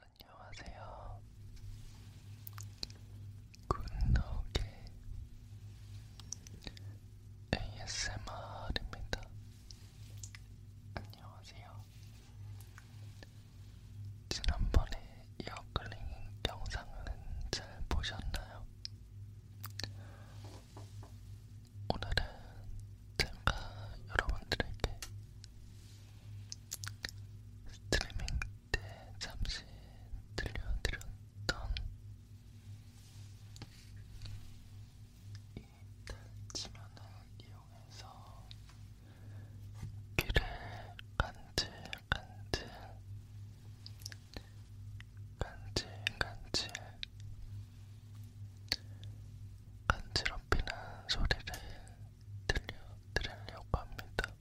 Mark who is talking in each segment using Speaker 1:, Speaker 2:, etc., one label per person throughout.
Speaker 1: 안녕하세요. 굿노게 ASMR입니다. 안녕하세요. 지난번에 이어클링 영상은 잘 보셨나요? 오늘은 제가 여러분들에게 스트리밍 때 잠시 들려드렸던 이 달치면을 이용해서 귀를 간질간질 간질 간질 간지럽히는 소리를 들려드리려고 합니다.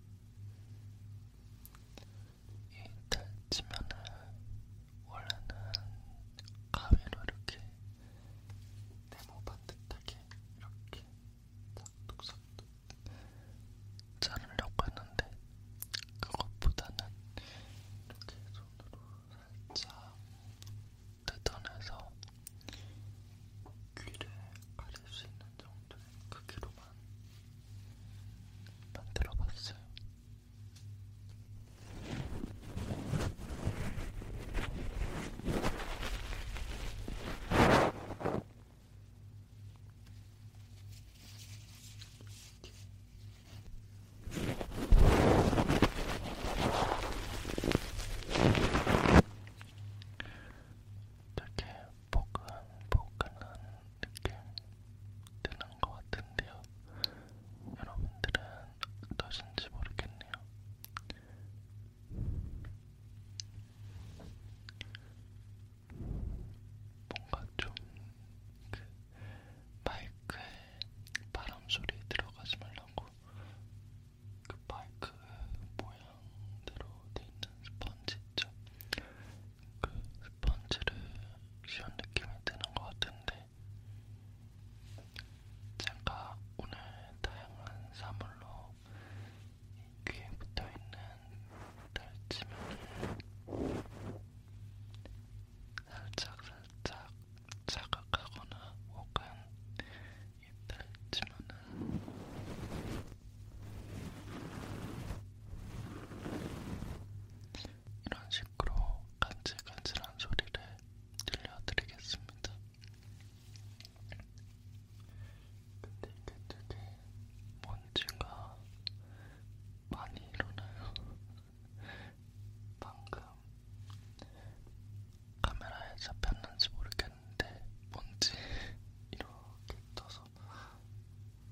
Speaker 1: 이 달치면은 원래는 가위로 이렇게 네모 반듯하게 이렇게 싹둑싹둑 자르려고 했는데 그것보다는 이렇게 손으로 살짝 뜯어내서 귀를 가릴 수 있는 정도의 크기로만 만들어봤어요. 되게 포근포근한 느낌 드는 것 같은데요. 여러분들은 어떠신지 모르겠네요. 뭔가 좀그 마이크에 바람 소리 들어가지 말라고 그 마이크 모양대로 돼 있는 스펀지 있죠? 그 스펀지를 쉬운 느낌이 드는 것 같은데 제가 오늘 다양한 사물로 귀에 붙어있는 달치면을 살짝살짝 자극하거나 혹은 이들 치면은 이런 식으로 간질간질한 소리를 들려드리겠습니다. 근데 이게 되게 먼지가 많이 일어나요. 방금 카메라에 잡혔는지 모르겠는데 뭔지 이렇게 떠서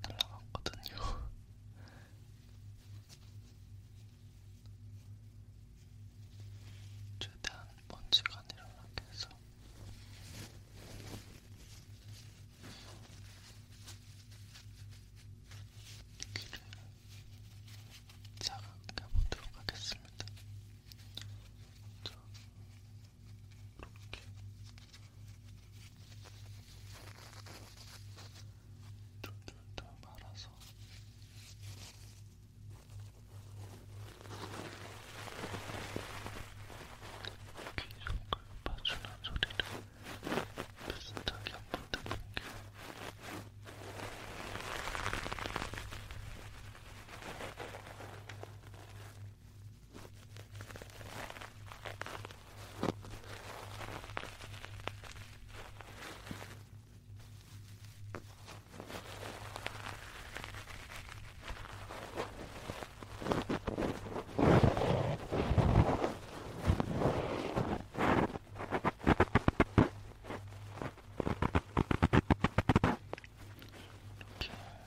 Speaker 1: 날라갔거든요. 최대한 먼지가 일어나게 해서 귀를 자극해 보도록 하겠습니다. 자, 이렇게 줄줄줄 말아서. 귀속을 봐주는 소리를 무슨 적이 한번 해볼게.
Speaker 2: 아, 이렇게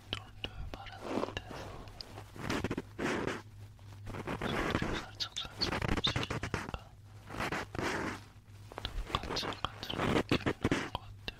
Speaker 2: 돌돌 바른 밑에서 손을 살짝 살짝 움직이니까 똑같이 간지러운 느낌이 나는 것 같아요.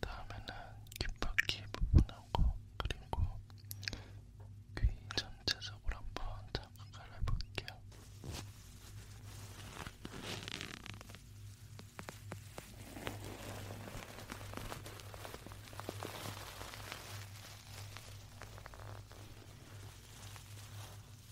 Speaker 2: 다음에는 귓바퀴 부분하고 그리고 귀 전체적으로 한번 장악을 해볼게요.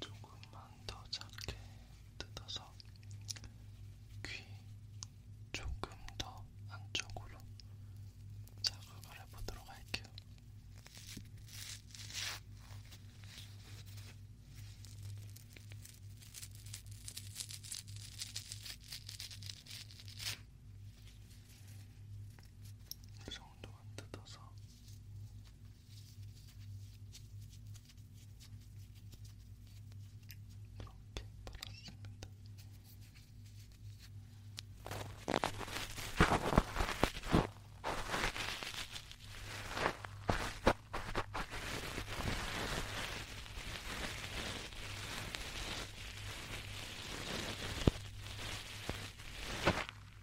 Speaker 2: 조금만 더 작게 뜯어서 귀 조금 더 안쪽으로 자극을 해보도록 할게요. 이 정도만 뜯어서 이렇게 받았습니다.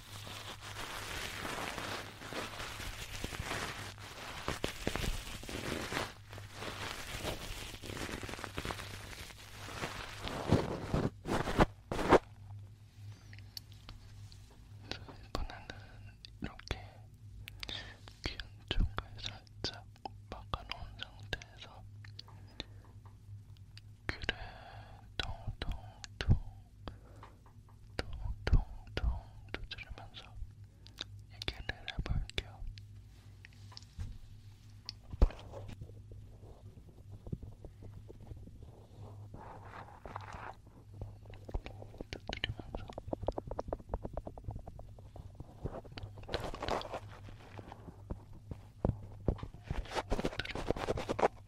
Speaker 2: 이번에는 이렇게 귀한 쪽을 살짝 막아놓은 상태에서 귀를 통통통 퉁퉁퉁 두드리면서 얘기를 해볼게요. 두드리면서 두드리면서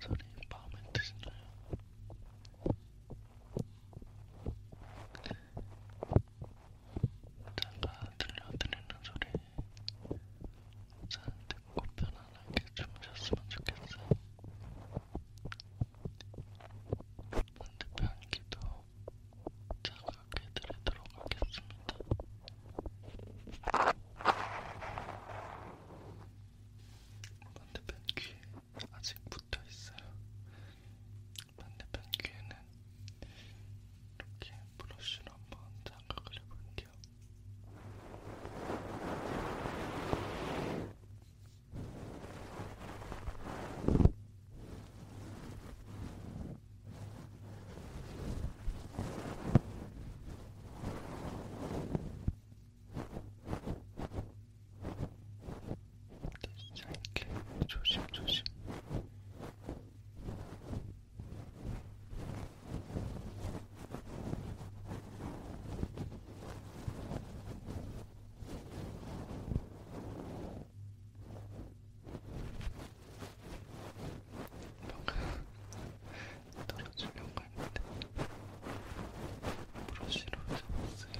Speaker 1: 소리 마음에 드시나요? 네. 제가 들려드리는 소리 잘 듣고 편안하게 주무셨으면 좋겠어요. 반대편기도 자극해 드리도록 하겠습니다. 반대편 귀에 아직 붙어 있어요. 반대편 귀에는 이렇게 브러쉬로 한번 자극을 해볼게요. 진짜 이렇게 조심조심 방금 떨어지려고 했는데 브러쉬로 잡았어요.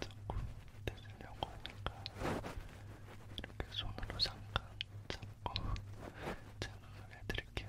Speaker 1: 자꾸 떼으려고 하니까 이렇게 손으로 잠깐 잡고 제눈을 해드릴게요.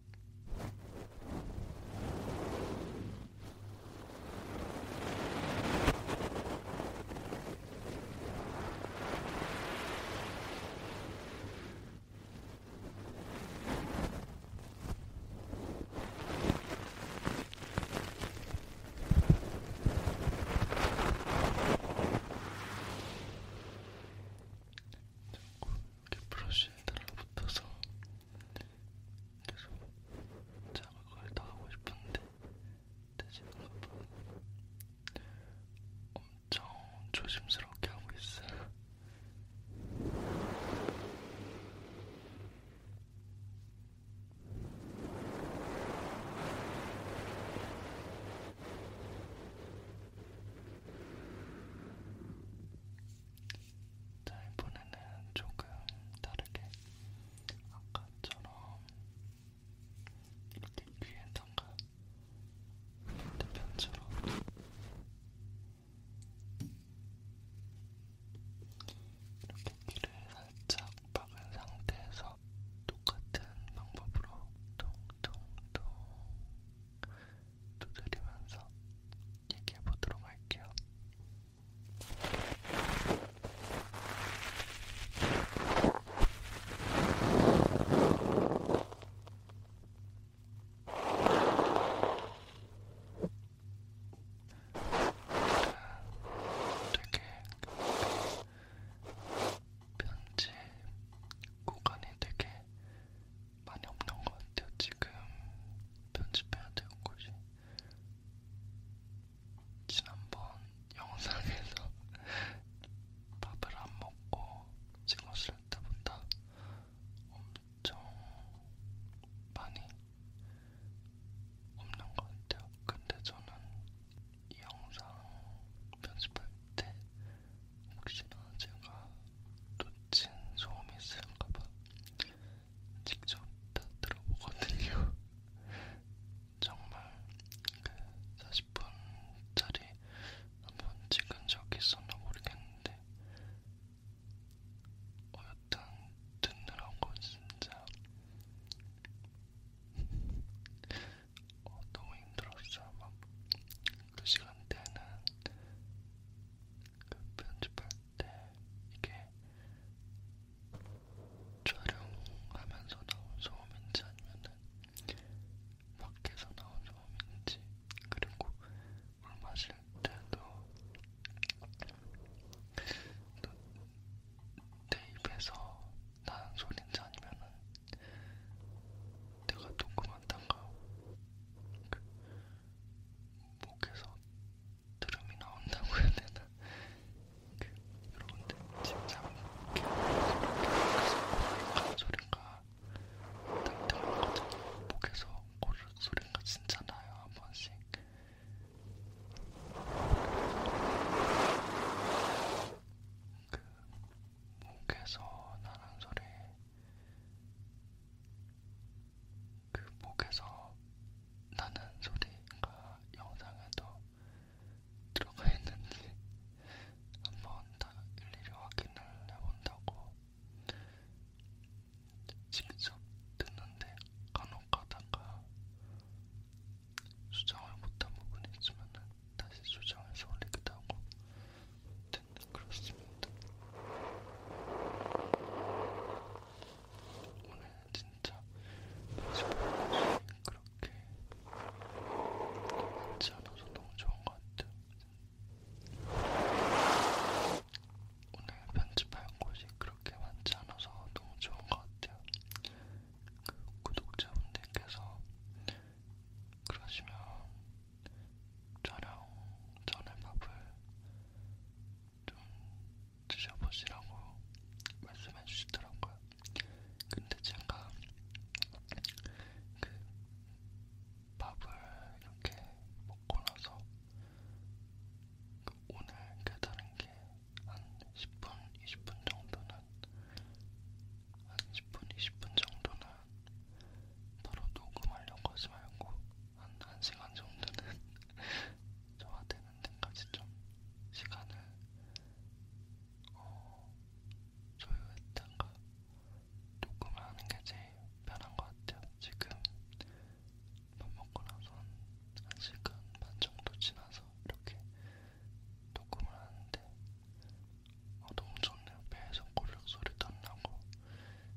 Speaker 1: 자꾸 이렇게 브러쉬에 달라붙어서 그래서 제가 그걸 다 하고 싶은데 되지는 못하고 엄청 조심스럽게 하고 있어요. 자, 이번에는 조금 다르게 아까처럼 이렇게 귀에다가 대편처럼 이렇게 귀를 살짝 박은 상태에서 똑같은 방법으로 통통통 두드리면서 얘기해 보도록 할게요. 되게 편집 구간이 되게 많이 없는 것 같아요. 지금 편집해야 될 곳이 지난번 영상에서 밥을 안 먹고 찍었을 때보다 엄청 많이 없는 것 같아요. 근데 저는 이 영상 편집할 때 혹시나 제가 놓친 소음이 있을까봐 직접 다 들어보거든요. 정말 그 40분짜리 한번 찍은 적이 있었나 모르겠는데 어, 여튼 듣느라고 진짜 어, 너무 힘들었어요. 막그 시간대는 그 편집할 때 이게 촬영하면서 나온 소음인지 아니면은 밖에서 나온 소음인지 그리고 물 마실 때도 내 입에서 나는 소린지 아니면은 내가 녹음한다가 그 목에서 드럼이 나온다고 해야 되나? 그, 여러분들 진짜 이렇게 목에서 소리가 땡땡한 거잖아요. 목에서 고르 소리가 진짜 나요 한 번씩. 그 목에서 나는 소리 그 목에서 나는 소리가 영상에도 들어가 있는지 한번 다 일일이 확인을 해본다고 직접 듣는데 간혹 가다가 수정을 못한 부분이 있으면 다시 수정해서 올리기도 하고 근데 아무튼 그렇습니다. 오늘 진짜 마지막까지 그렇게 많지 않아서 너무 좋은 것 같아요. 오늘 편집할 곳이 그렇게 많지 않아서 너무 좋은 것 같아요. 그 구독자분들께서 그러시면 촬영 전에 밥을 좀 드셔보시라고 말씀해 주시더라고요. 근데 제가 그 밥을 이렇게 먹고 나서 그 오늘 깨달은 게 한 10분, 20분 정도는 한 10분, 20분 정도는 바로 녹음하려고 하지 말고 한, 한 시간 정도는 저화되는 데까지 좀 시간을 어, 조율했다가 녹음을 하는 게 제일 편한 것 같아요. 지금 밥 먹고 나서 한, 한 시간 반 정도 지나서 이렇게 녹음을 하는데 어, 너무 좋네요. 배에서 고륵 소리도 안 나고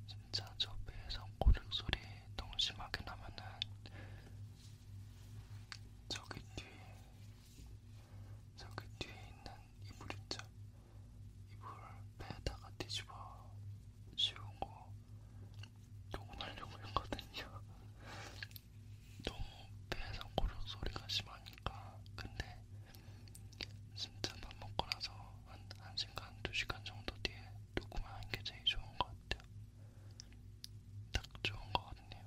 Speaker 1: 진짜 저 배에서 고륵 소리 너무 심하게 나면은 저기 뒤에 저기 뒤에 있는 이불 있죠? 이불 배에다가 뒤집어 씌우고 동원하려고 했거든요. 너무 배에서 고륵 소리가 심하니까 근데 진짜 밥 먹고 나서 한 1시간, 2시간 정도 뒤에 녹음하는 게 제일 좋은 것 같아요. 딱 좋은 것 같네요.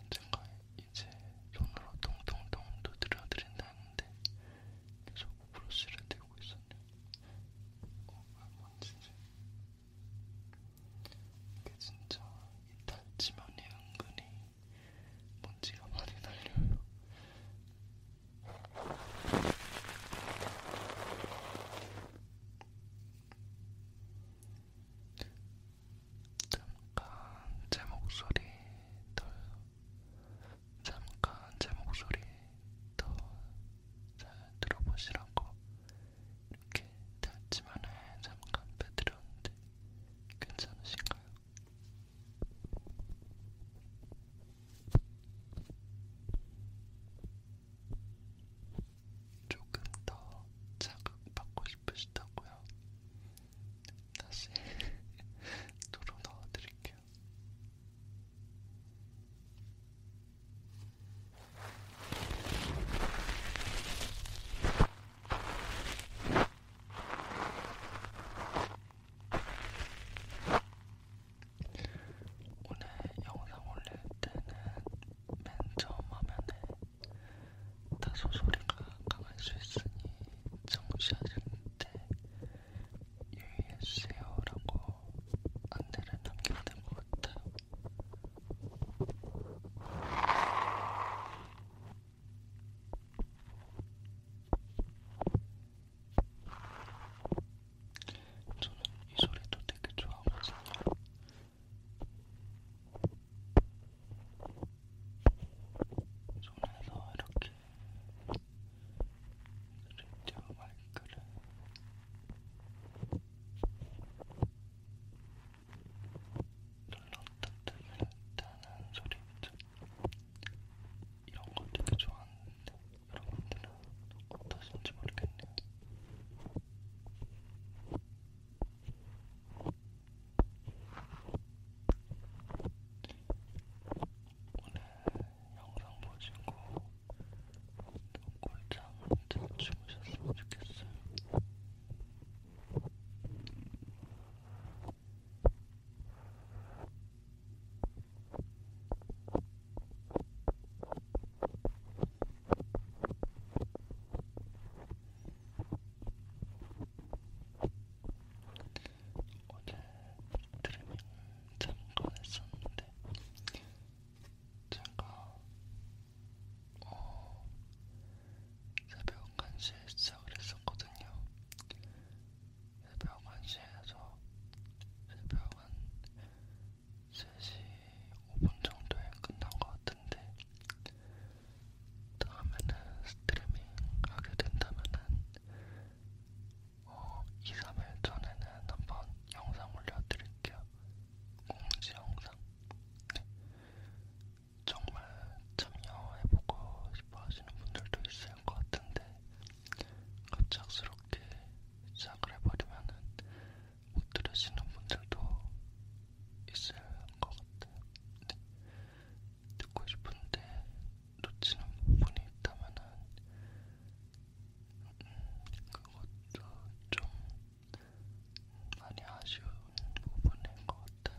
Speaker 1: 언젠가 어, 이제 손으로 통통통 두드려 드린다는데 계속 브러쉬를 들고 있어요. 어, 뭔지지? 이게 진짜 이 달지만이 은근히 먼지가 많이 날려요. 잠깐 제 목소리 덜 잠깐 제 목소리 더 잘 들어보시라고 이렇게 닫지만에 잠깐 빼드렸는데 괜찮으신가요? 조금 더 자극받고 싶으시다고요? 다시 도로 넣어드릴게요. 오늘 영상 올릴 때는 맨 처음 화면에 다소 소리가 강할 수 있으니 정시하실 때 유의해주세요라고 안내를 남겨야 될것 같아요. 저는 이 소리도 되게 좋아하거든요. 손에서 이렇게 그림자와 말그릇 눌렀다뜻다는 소리 있죠? 이런 거 되게 좋아하는데 여러분들은 어떠신지 모르겠네요. 오늘 영상 보시고 꿀잠 잘 주무셨으면 좋겠어요. 오늘 트리밍을 잠깐 했었는데 제가 어, 새벽 1시에 시작을 했었거든요. 새벽 1시에서 새벽 한 3시 5분 정도에 끝난 것 같은데 다음에는 스트리밍 하게 된다면은 어, 2, 3일 전에는 한번 영상 올려드릴게요. 공지 영상. 네. 정말 참여해보고 싶어 하시는 분들도 있을 것 같은데, 갑작스럽게 시작을 해버리면은 못 들으시는 분들도 있을 것 같아요. 네. 듣고 싶은데 놓치는 부분이 있다면은 음, 그것도 좀 많이 아쉬운 부분인 것 같아요.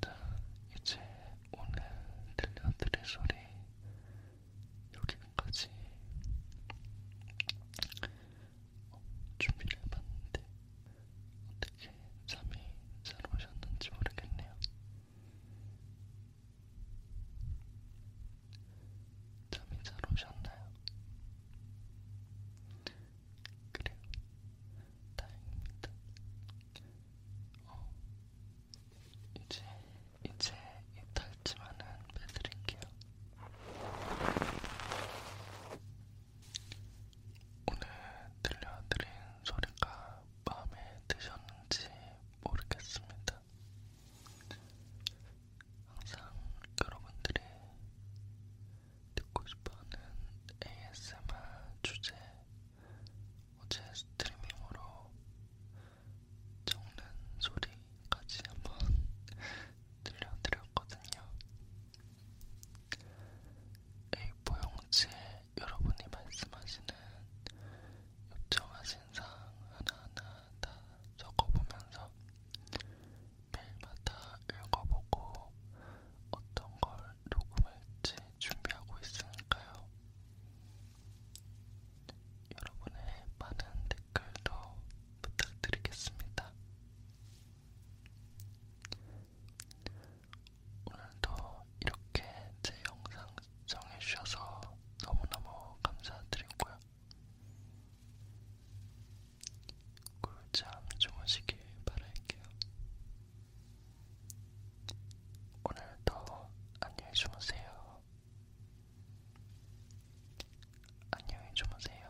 Speaker 1: 자, 이제 오늘 들려드릴 소리 여기까지 준비를 해봤는데 어떻게 잠이 잘 오셨는지 모르겠네요. 잠이 잘 오셨나요? 그래요. 다행입니다. 어, 이제, 이제 이탈지만은 빼드릴게요. 오늘 들려드린 소리가 마음에 드셨는지 모르겠습니다. 항상 여러분들이 듣고 싶어하는 ASMR 주제 어제 스트리밍으로 적는 소리까지 한번 들려드렸거든요. A4용지에 여러분이 말씀하시는 요청하신 사항 하나하나 다 적어보면서 매일마다 읽어보고 어떤 걸 녹음할지 준비하고 있으니까요. 여러분의 많은 댓글도 부탁드리겠습니다. 오늘도 이렇게 제 영상 시청해주셔서 너무너무 감사드리고요. 꿀잠 주무시길 바랄게요. 오늘도 안녕히 주무세요.
Speaker 2: 안녕히 주무세요.